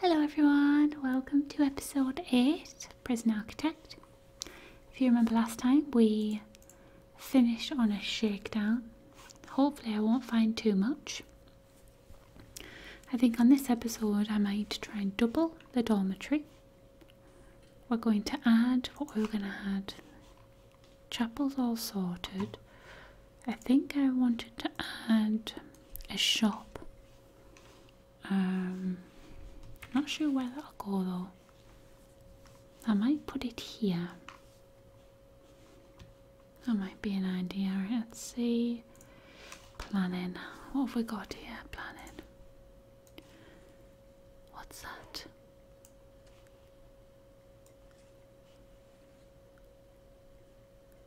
Hello everyone, welcome to episode 8 Prison Architect. If you remember last time, we finished on a shakedown. Hopefully, I won't find too much. I think on this episode, I might try and double the dormitory. We're going to add what are we going to add. Chapel's all sorted. I think I wanted to add a shop um, not sure where that'll go though. I might put it here. That might be an idea. let's see. Planet. What have we got here? Planet. What's that?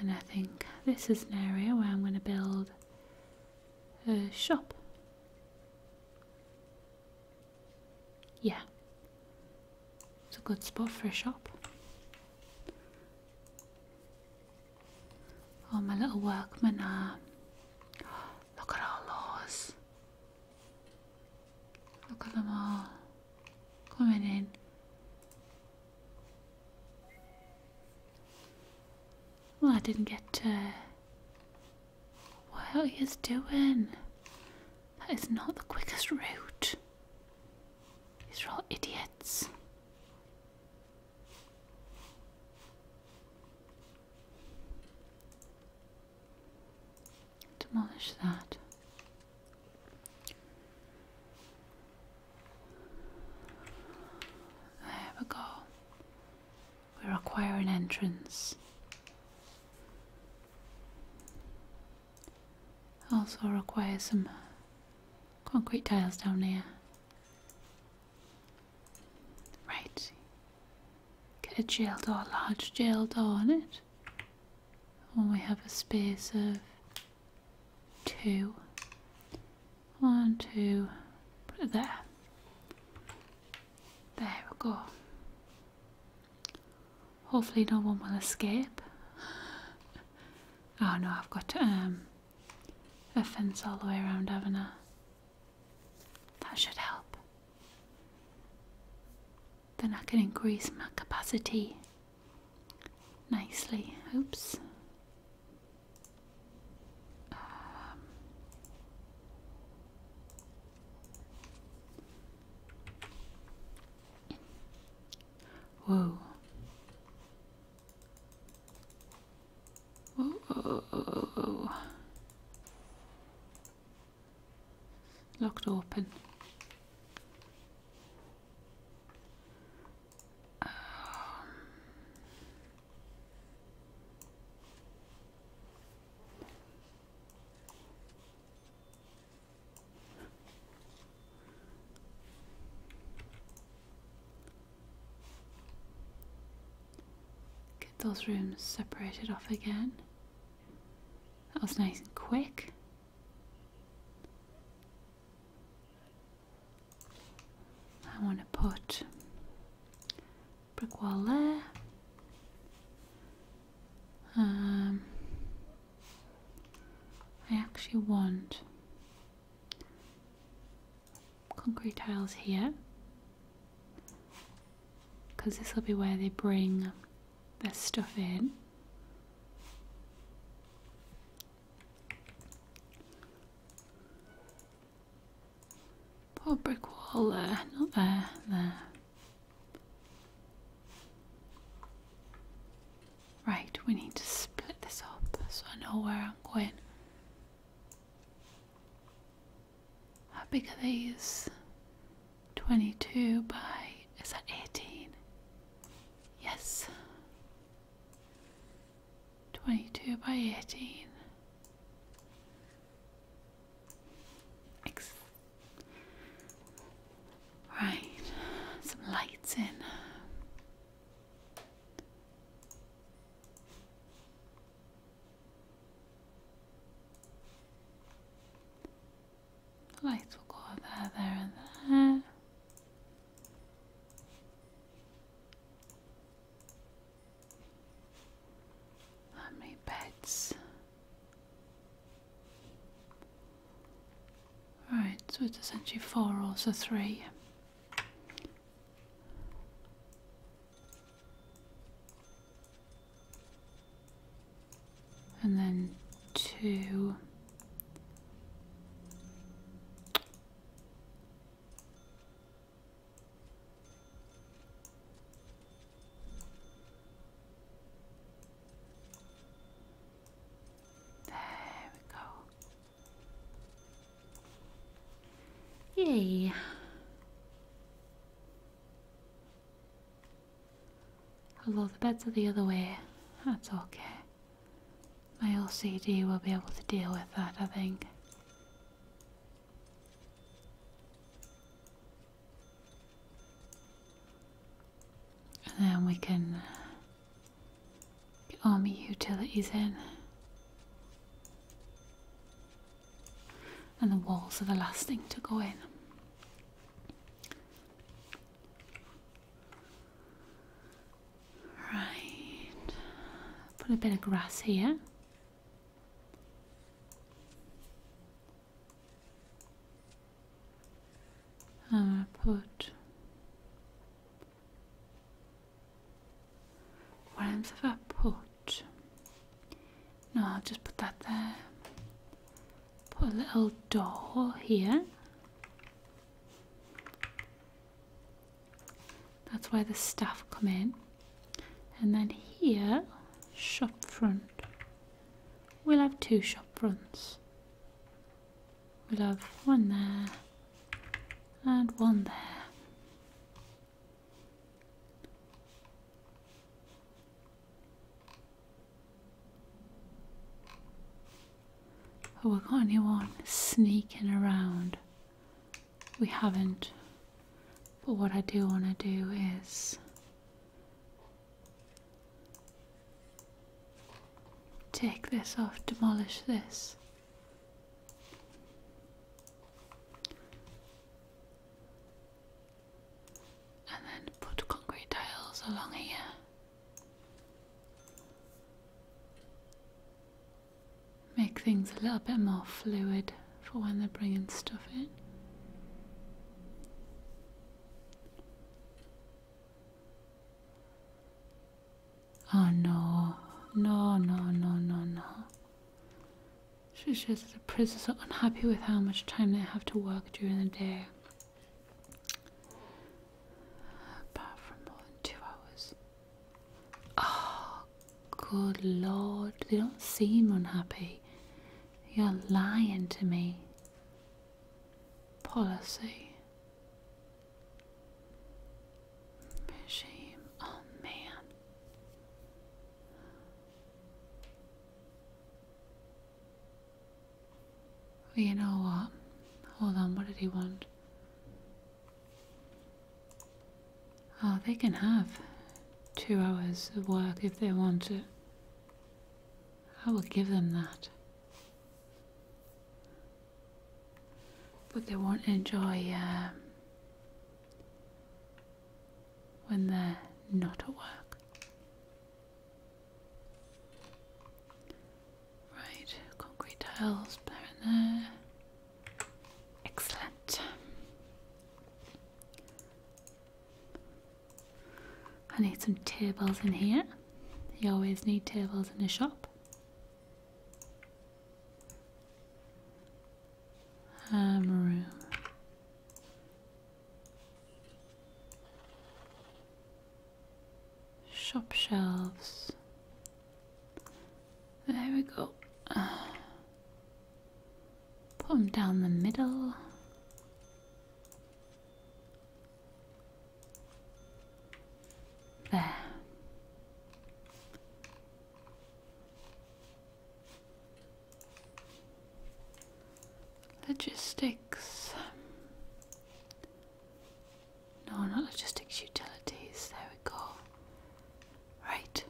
And I think this is an area where I'm going to build a shop. Yeah, it's a good spot for a shop. All my little workmen are. Look at our laws. Look at them all coming in. Well, I didn't get to. What are you doing? That is not the quickest route. These are all idiots. Demolish that. There we go. We require an entrance. Also require some concrete tiles down here. Right. Get a jail door, large jail door on it when we have a space of two. One, two, there. There we go. Hopefully no one will escape. Oh no, I've got um, a fence all the way around, have That should help then I can increase my capacity nicely. Oops. Um. whoa, whoa locked open. Um, get those rooms separated off again. That was nice and quick. I want to put brick wall there. Um, I actually want concrete tiles here because this will be where they bring their stuff in Poor brick wall there, not there, there. Right, we need to split this up so I know where I'm going. How big are these? 22 by, is that 18? Yes. 22 by 18. Ex right, some lights in. The lights will go there, there, and there. How many beds? Right, so it's essentially four or so three and then two. There we go. Yay. Although the beds are the other way, that's okay. My LCD will be able to deal with that, I think. And then we can get all my utilities in. And the walls are the last thing to go in. Right. Put a bit of grass here. I'm gonna put what else have I put? No, I'll just put that there put a little door here. That's where the staff come in. And then here, shop front. We'll have two shop fronts. We'll have one there and one there. Have we got anyone sneaking around? We haven't. But what I do want to do is take this off, demolish this. And then put concrete tiles along here. Make things a little bit more fluid for when they're bringing stuff in. Oh no, no, no, no, no, no. She says the prisoners are unhappy with how much time they have to work during the day. Apart from more than two hours. Oh, good lord. They don't seem unhappy. You're lying to me. Policy. Shame. Oh, man you know what? Ah, hold on, what did he want? Oh, they can have two hours of work if they want it. I will give them that. But they won't enjoy um, when they're not at work. Right, concrete tiles there and there. Excellent. I need some tables in here. You always need tables in a shop. Um, room. Shop shelves. There we go. Put them down the middle. There. Logistics. No, not logistics utilities. There we go. Right.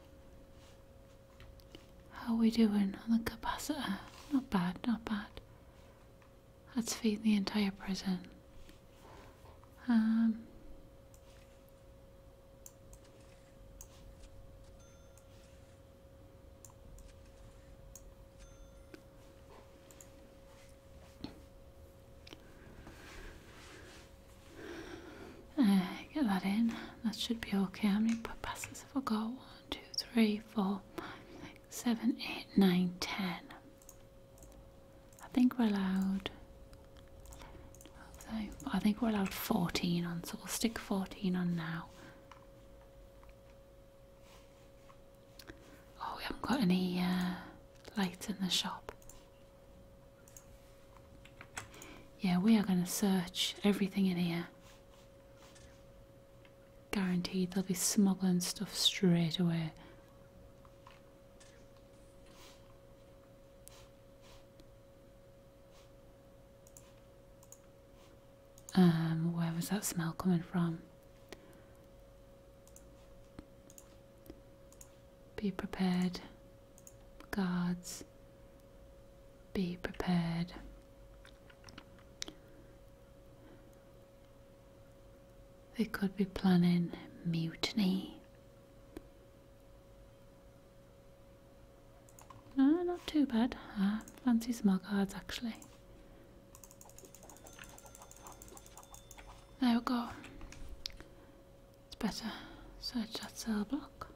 How are we doing on the capacitor? Not bad, not bad. That's feeding the entire prison. Um. Uh, get that in. That should be okay. How many passes have I got? One, two, three, four, five, six, seven, eight, nine, ten. I think we're allowed. I think we're allowed 14 on, so we'll stick 14 on now. Oh, we haven't got any uh, lights in the shop. Yeah, we are going to search everything in here. Guaranteed they'll be smuggling stuff straight away. Um, where was that smell coming from? Be prepared. Guards, be prepared. They could be planning mutiny. No, not too bad. I fancy smart guards actually. There we go. It's better. Search that cell block.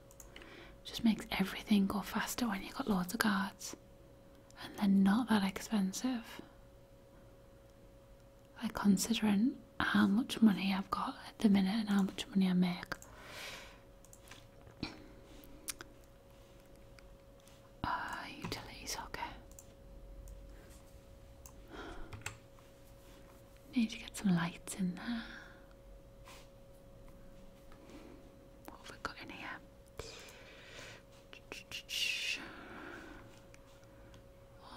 Just makes everything go faster when you've got loads of cards. And they're not that expensive. Like considering how much money I've got at the minute and how much money I make. Uh, utilities, okay. Need to get some lights in there. What have we got in here?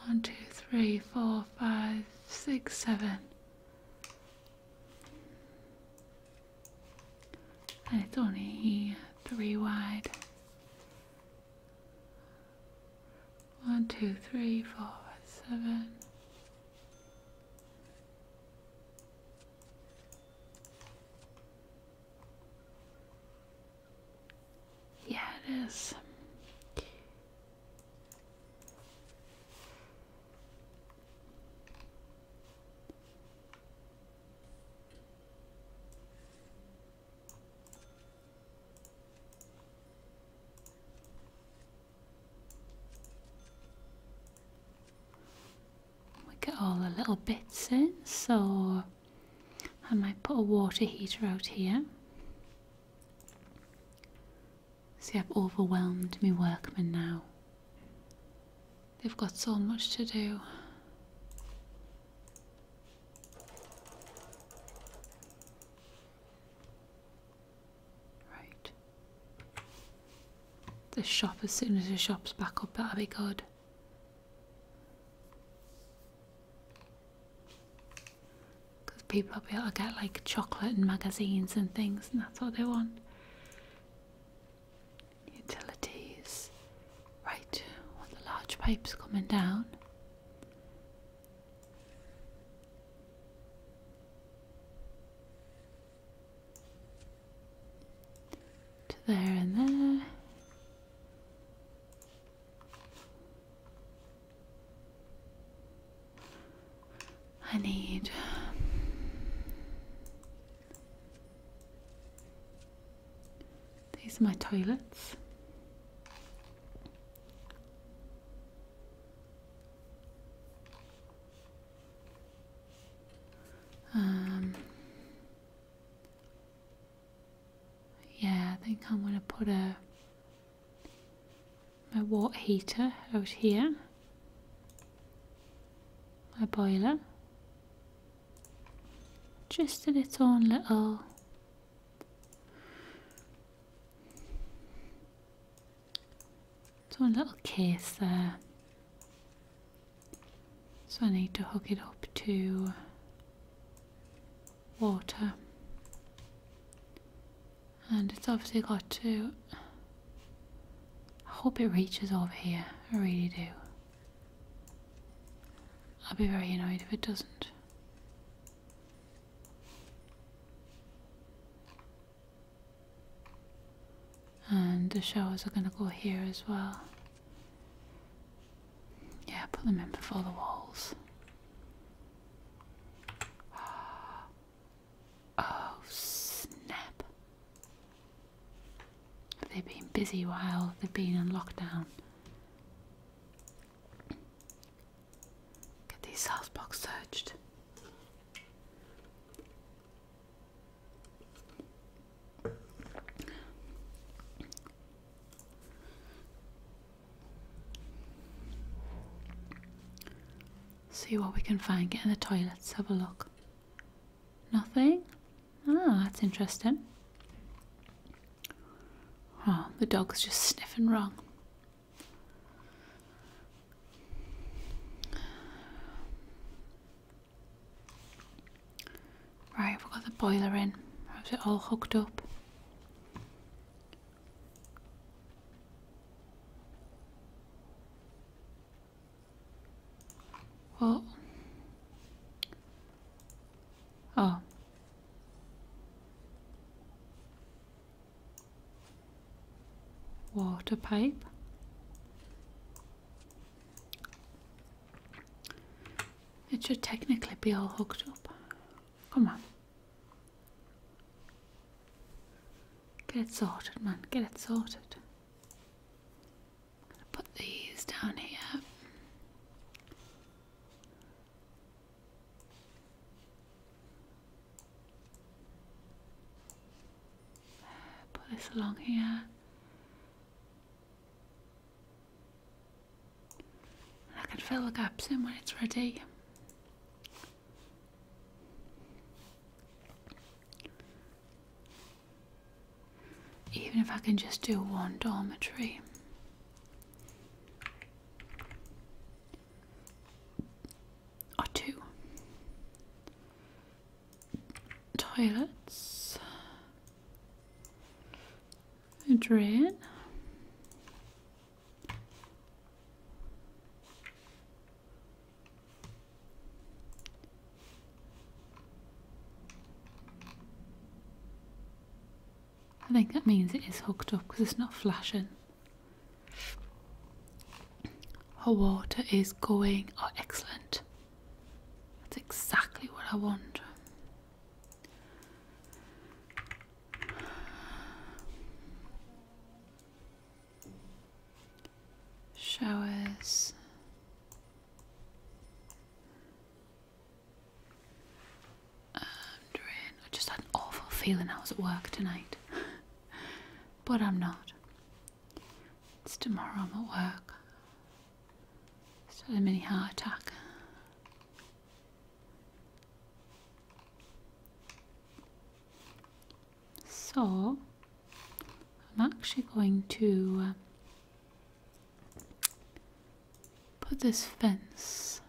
One, two, three, four, five, six, seven. And it's only three wide. One, two, three, four, seven. Yeah, it is. We get all the little bits in, so I might put a water heater out here. See, I've overwhelmed me workmen now. They've got so much to do. Right. The shop, as soon as the shop's back up, that'll be good. Because people will be able to get like chocolate and magazines and things, and that's what they want. Utilities. Right, the large pipes coming down. To there and there. I need. These are my toilets. Um, yeah, I think I'm going to put a my water heater out here, my boiler, just a its little little case there. So I need to hook it up to water. And it's obviously got to I hope it reaches over here. I really do. I'll be very annoyed if it doesn't. And the showers are going to go here as well. Yeah, put them in before the walls. Oh, snap. Have they been busy while they've been in lockdown? Get these housebox searched. See what we can find. Get in the toilets, have a look. Nothing? Ah, that's interesting. Oh, the dog's just sniffing wrong. Right, we've got the boiler in. How's it all hooked up? What? Oh. Water pipe. It should technically be all hooked up. Come on. Get it sorted, man. Get it sorted. put these down here. Put this along here. I can fill the gaps in when it's ready. Even if I can just do one dormitory or two toilets, a drain. I think that means it is hooked up because it's not flashing. Our water is going. Oh, excellent. That's exactly what I want. Showers. I'm drained. I just had an awful feeling I was at work tonight. but I'm not. It's tomorrow I'm at work. Just had a mini heart attack. So, I'm actually going to uh, Put this fence,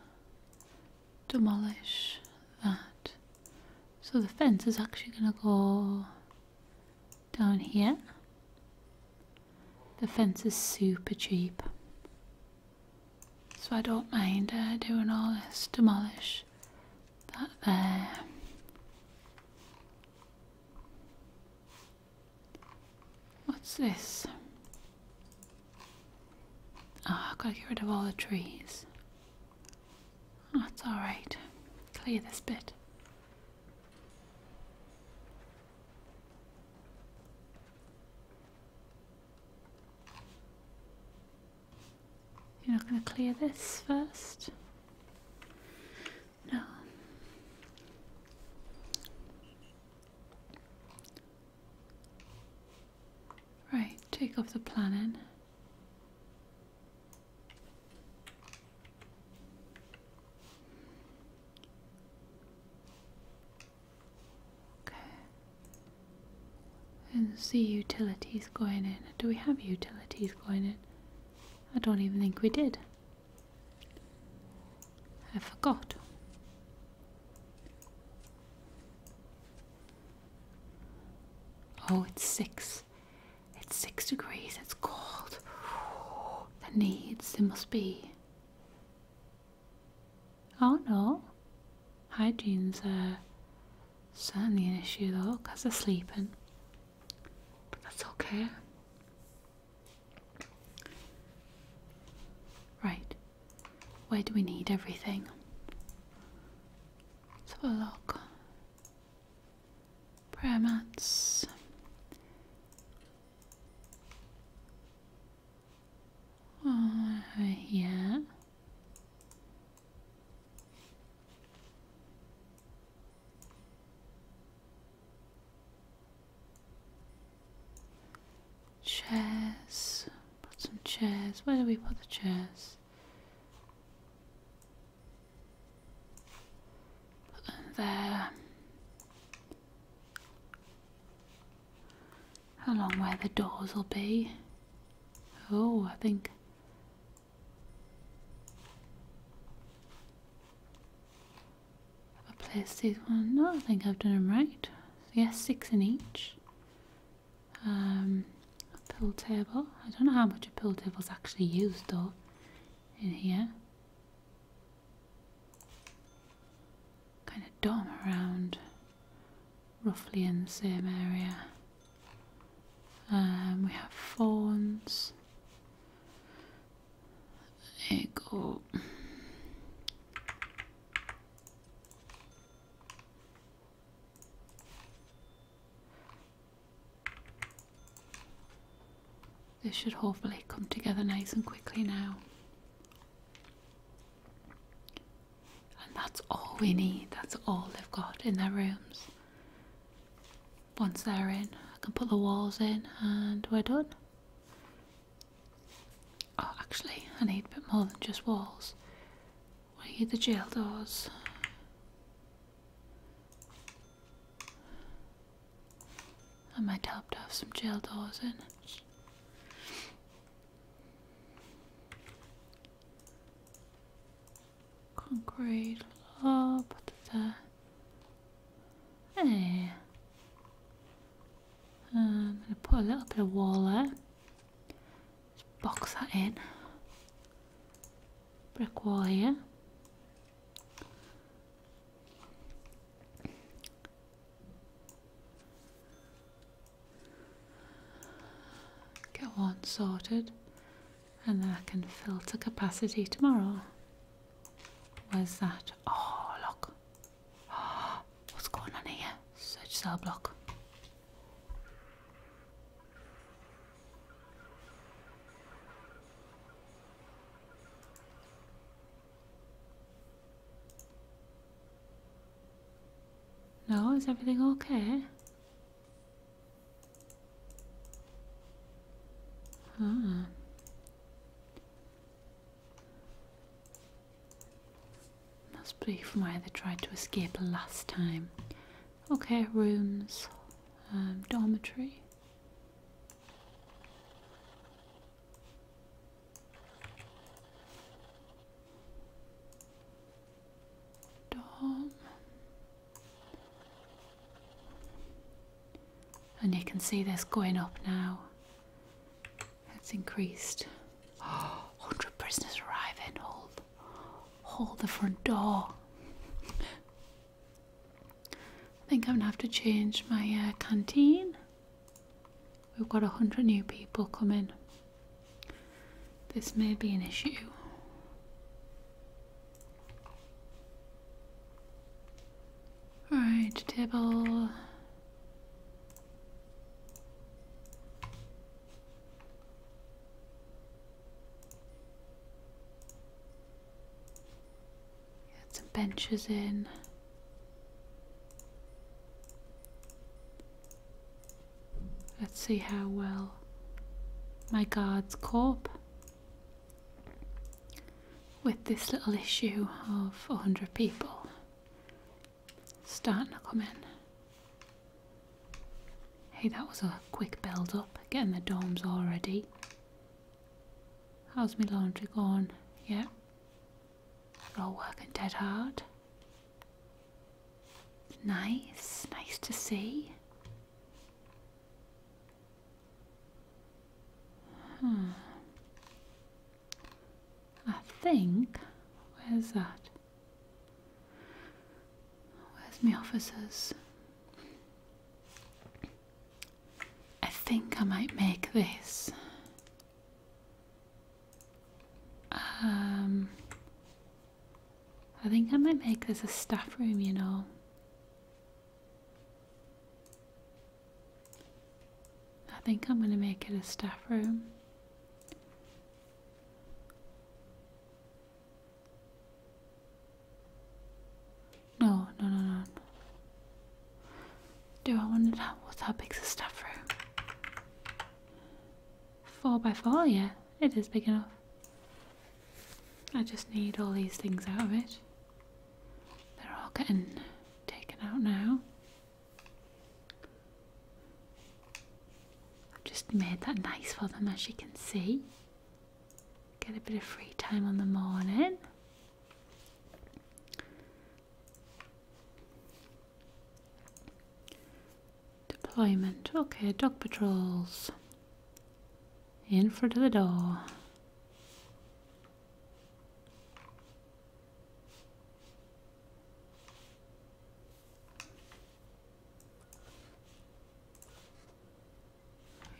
demolish that. So the fence is actually going to go down here. The fence is super cheap. So I don't mind uh, doing all this. Demolish that there. What's this? Oh, I've got to get rid of all the trees. That's alright. Clear this bit. You're not going to clear this first? No. Right, take off the planning. Okay. And see utilities going in. Do we have utilities going in? I don't even think we did. I forgot. Oh, it's six. It's six degrees. It's cold. The needs, there must be. Oh no. Hygiene's uh, certainly an issue though, because they're sleeping. But that's okay. Right, where do we need everything? let Prayer mats. Over here. Chairs. Put some chairs. Where do we put the chairs? there. How long where the doors will be? Oh, I think. Have I placed these one? No, I think I've done them right. yes, six in each. Um, pool table. I don't know how much a pool table's actually used though in here. Kind of dom around roughly in the same area. Um, we have fawns. There you go. This should hopefully come together nice and quickly now. And that's all we need, that's all they've got in their rooms. Once they're in, I can put the walls in and we're done. Oh, actually, I need a bit more than just walls. Where are the jail doors? I might help to have some jail doors in. Concrete law, oh, put it there. Hey. Eh. I'm um, going to put a little bit of wall there. Just box that in. Brick wall here. Get one sorted. And then I can filter capacity tomorrow. Where's that? Oh, look. What's going on here? Search cell block. No, is everything okay? Ah. Must be from where they tried to escape last time. Okay, rooms, um, dormitory. Dorm. And you can see this going up now. It's increased. 100 prisoners arriving. Hold, hold the front door. I think I'm gonna have to change my uh, canteen. We've got 100 new people coming. This may be an issue. Alright, table. Get some benches in. Let's see how well my guards cope with this little issue of 100 people starting to come in. Hey, that was a quick build up, getting the domes already. How's my laundry going? Yeah. We're all working dead hard. Nice, nice to see. Hmm. I think. Where's that? Where's my officers? I think I might make this. Um, I think I might make this a staff room, you know. I think I'm going to make it a staff room. No, no, no, no. Do I want to know what's how big the staff room? Four by four, yeah, it is big enough. I just need all these things out of it. They're all getting taken out now. I've just made that nice for them as you can see. Get a bit of free time on the morning. Deployment. Okay, dog patrols. In front of the door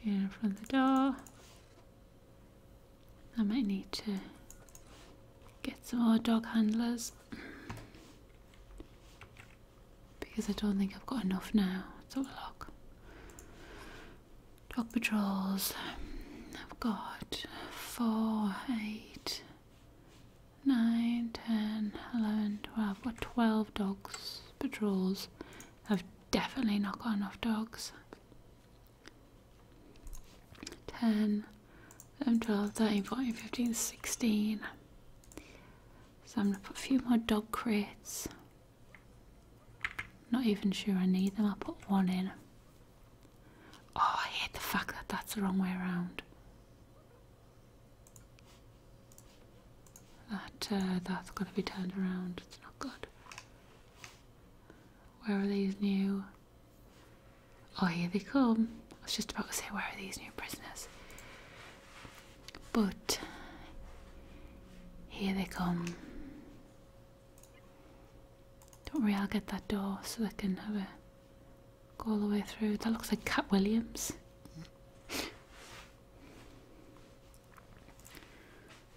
in front the door. I might need to get some more dog handlers because I don't think I've got enough now. let look. Dog patrols. I've got four, eight. 9, 10, 11, 12. What, 12 dogs patrols? I've definitely not got enough dogs. 10, 11, 12, 13, 14, 15, 16. So I'm going to put a few more dog crates. Not even sure I need them, I'll put one in. Oh, I hate the fact that that's the wrong way around. That uh, that's got to be turned around. It's not good. Where are these new? Oh, here they come. I was just about to say, where are these new prisoners? But here they come. Don't worry, I'll get that door so they can have a Go all the way through. That looks like Cat Williams.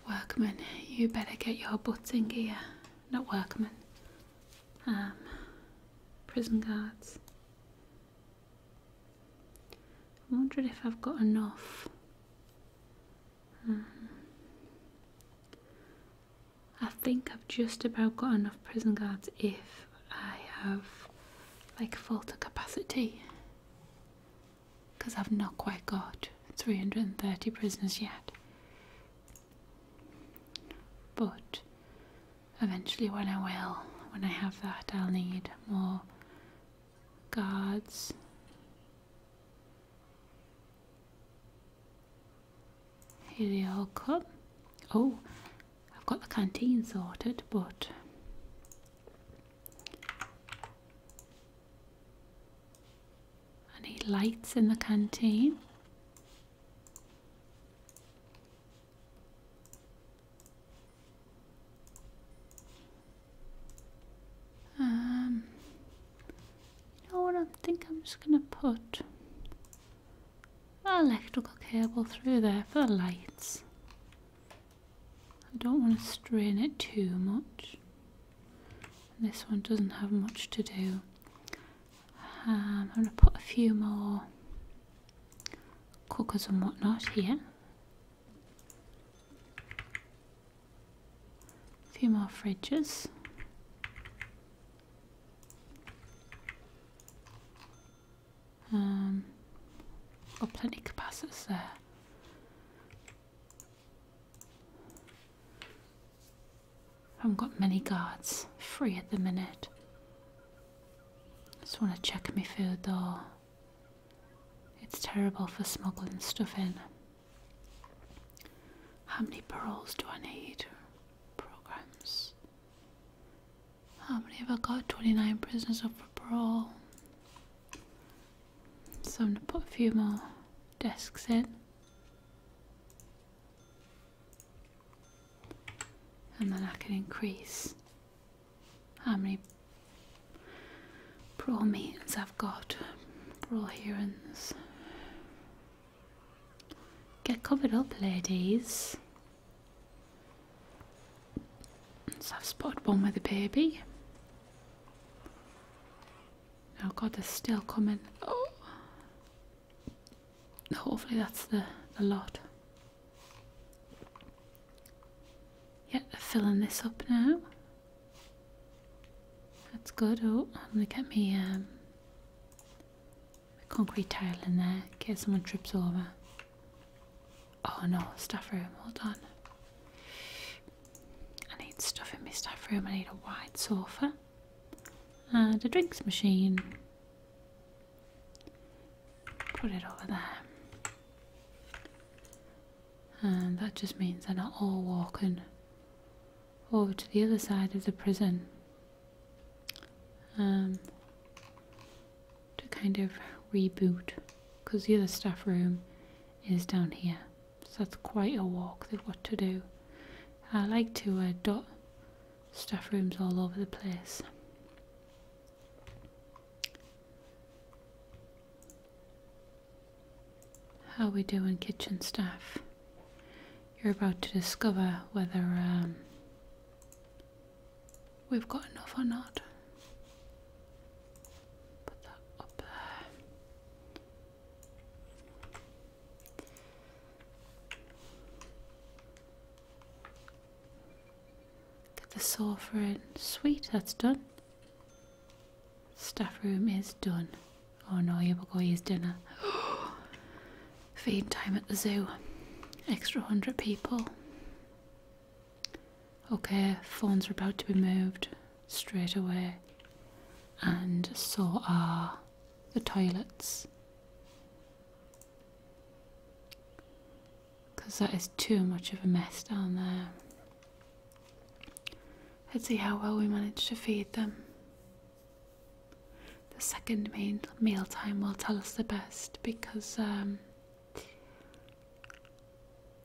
Workman, you better get your butts in gear. Not workman. Um, prison guards. I'm wondering if I've got enough. Hmm. I think I've just about got enough prison guards if I have like full to capacity because I've not quite got 330 prisoners yet. But eventually, when I will, when I have that, I'll need more guards. Here they all come. Oh, I've got the canteen sorted, but I need lights in the canteen. Um, you know what? I think I'm just gonna put electrical cable through there for the lights. I don't want to strain it too much. This one doesn't have much to do. Um, I'm going to put a few more cookers and whatnot here. A few more fridges. Um, got oh, plenty capacitors there. I haven't got many guards free at the minute. Just want to check my food though. It's terrible for smuggling stuff in. How many paroles do I need? Programs. How many have I got? 29 prisoners up for parole. So I'm going to put a few more desks in. And then I can increase how many parole meetings I've got, parole hearings. Get covered up, ladies. So I've spotted one with a baby. Oh god, they're still coming. Oh. Hopefully that's the, lot. Yeah, they're filling this up now. That's good. Oh, I'm gonna get me um concrete tile in there in case someone trips over. Oh no, staff room, hold on. I need stuff in my staff room. I need a wide sofa and a drinks machine. Put it over there. And that just means they're not all walking over to the other side of the prison um, to kind of reboot because the other staff room is down here so that's quite a walk they've got to do I like to uh, dot staff rooms all over the place how we doing kitchen staff you're about to discover whether um, we've got enough or not. Put that up there. Get the sofa in. Sweet, that's done. Staff room is done. Oh no, you will to use dinner. feed time at the zoo. Extra 100 people. Okay, phones are about to be moved straight away, and so are the toilets. Because that is too much of a mess down there. Let's see how well we manage to feed them. The second main meal time will tell us the best because um,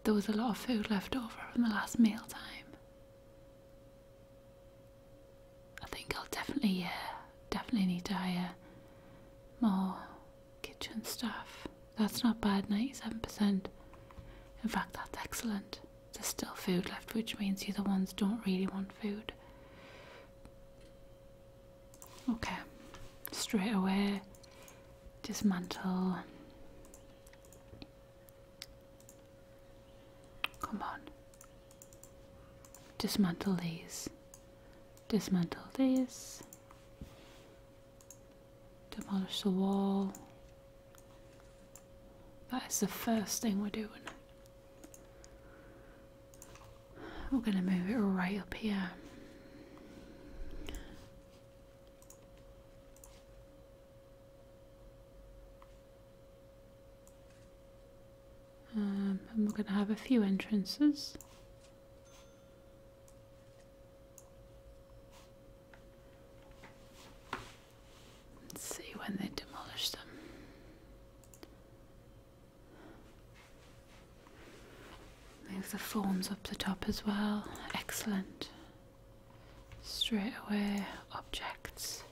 there was a lot of food left over from the last meal time. I think I'll definitely, yeah, uh, definitely need to hire more kitchen staff. That's not bad, 97%. In fact, that's excellent. There's still food left, which means you're the ones don't really want food. Okay, straight away, dismantle. Come on. Dismantle these. Dismantle these. Demolish the wall. That is the first thing we're doing. We're going to move it right up here. Um, and we're going to have a few entrances. Let's see when they demolish them. Move the forms up the top as well. Excellent. Straight away, objects.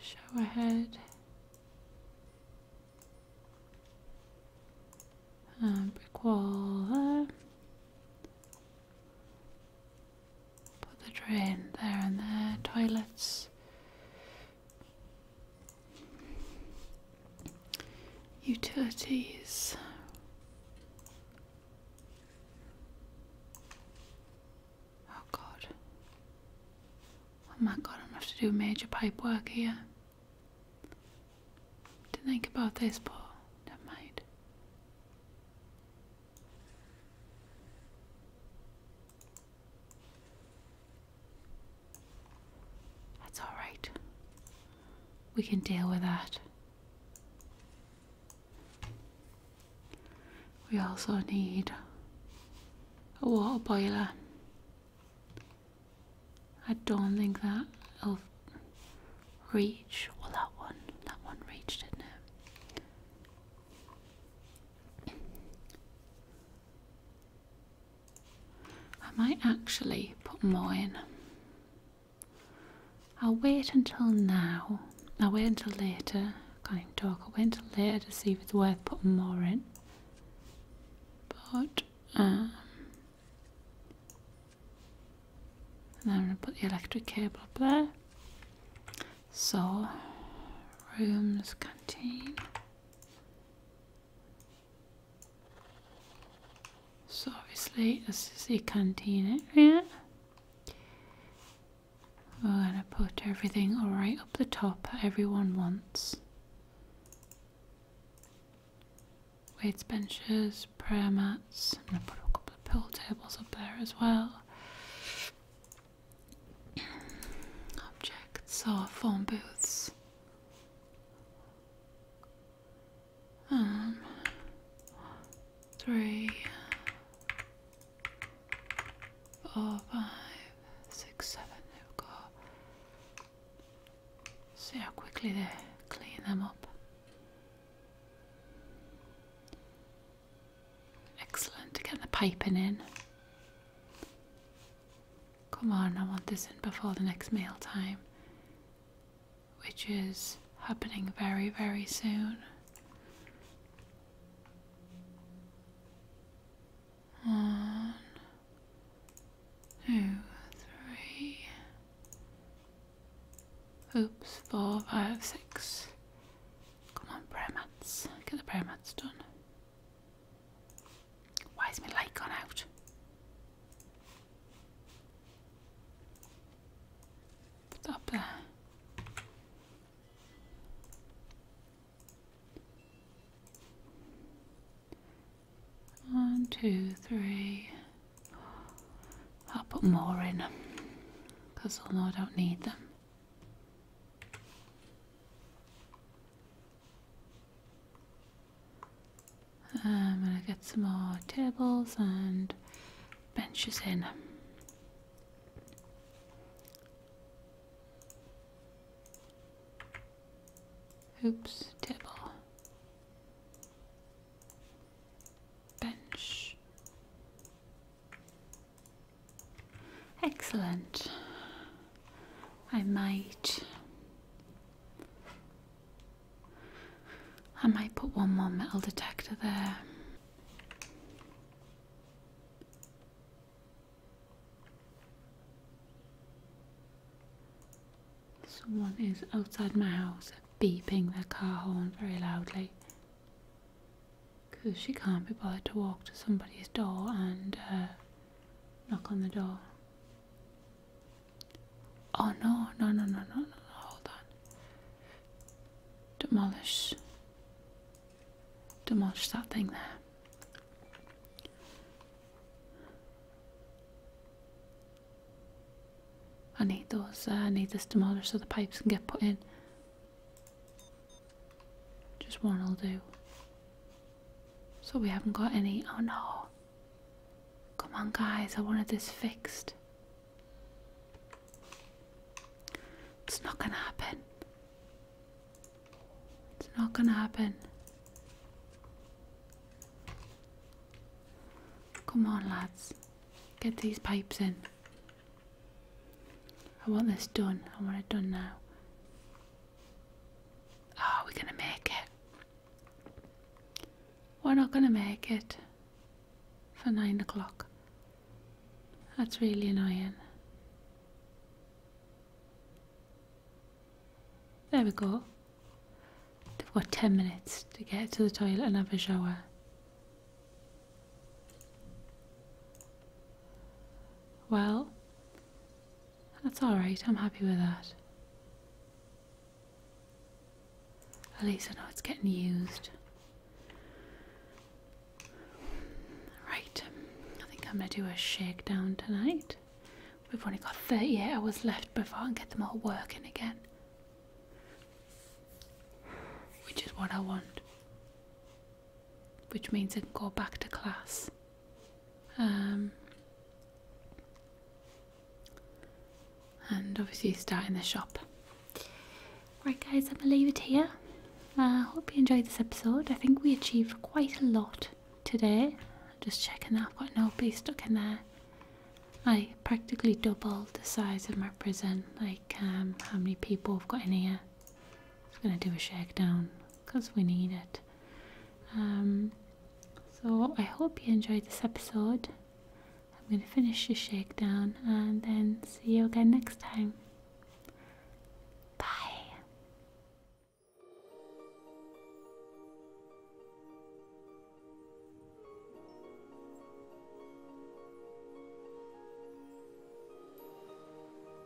Shower head. brick wall Put the drain there and there. Toilets. Utilities. Oh God. Oh my God, I'm gonna have to do major pipe work here. To think about this, but never mind. That's all right. We can deal with that. We also need a water boiler. I don't think that'll reach. Well, that one, that one reached, didn't it? I might actually put more in. I'll wait until now. I'll wait until later. Can't even talk. I'll wait until later to see if it's worth putting more in. But, um, I'm going to put the electric cable up there. So, rooms, contain. So obviously this is the canteen area. We're gonna put everything right up the top everyone wants. Weights benches, prayer mats, I'm gonna put a couple of pool tables up there as well. Objects or phone booths. Um, three, four, five, six, See how quickly they clean them up. Excellent get the piping in. Come on, I want this in before the next mail time, which is happening very, very soon. One, two, three. Oops, four, five, six. Come on, prayer mats. Get the prayer mats done. Why has my light gone out? Put that up there. One, two, three. I'll put more in because I know I don't need them. I'm gonna get some more tables and benches in. Oops, table. Bench. Excellent. I might. I might put one more metal detector there. Someone is outside my house beeping their car horn very loudly. Because she can't be bothered to walk to somebody's door and uh, Knock on the door. Oh no, no, no, no, no, no, no, hold on. Demolish. Demolish that thing there. I need those, uh, I need this demolished so the pipes can get put in. Just one will do. So we haven't got any. Oh no. Come on, guys. I wanted this fixed. It's not gonna happen. It's not gonna happen. Come on, lads. Get these pipes in. I want this done. I want it done now. Oh, ah, we gonna make it. We're not gonna make it for nine o'clock. That's really annoying. There we go. They've got 10 minutes to get to the toilet and have a shower. Well, that's alright, I'm happy with that. At least I know it's getting used. Right, I think I'm going to do a shakedown tonight. We've only got 38 hours left before I can get them all working again. Which is what I want. Which means I can go back to class. Um, and obviously starting the shop. Right, guys, I'm gonna leave it here. I uh, hope you enjoyed this episode. I think we achieved quite a lot today. Just checking that I've got nobody stuck in there. I practically doubled the size of my prison, like um, how many people have got in here. Just gonna do a shakedown because we need it. Um, so I hope you enjoyed this episode. I'm going to finish the shakedown and then see you again next time. Bye.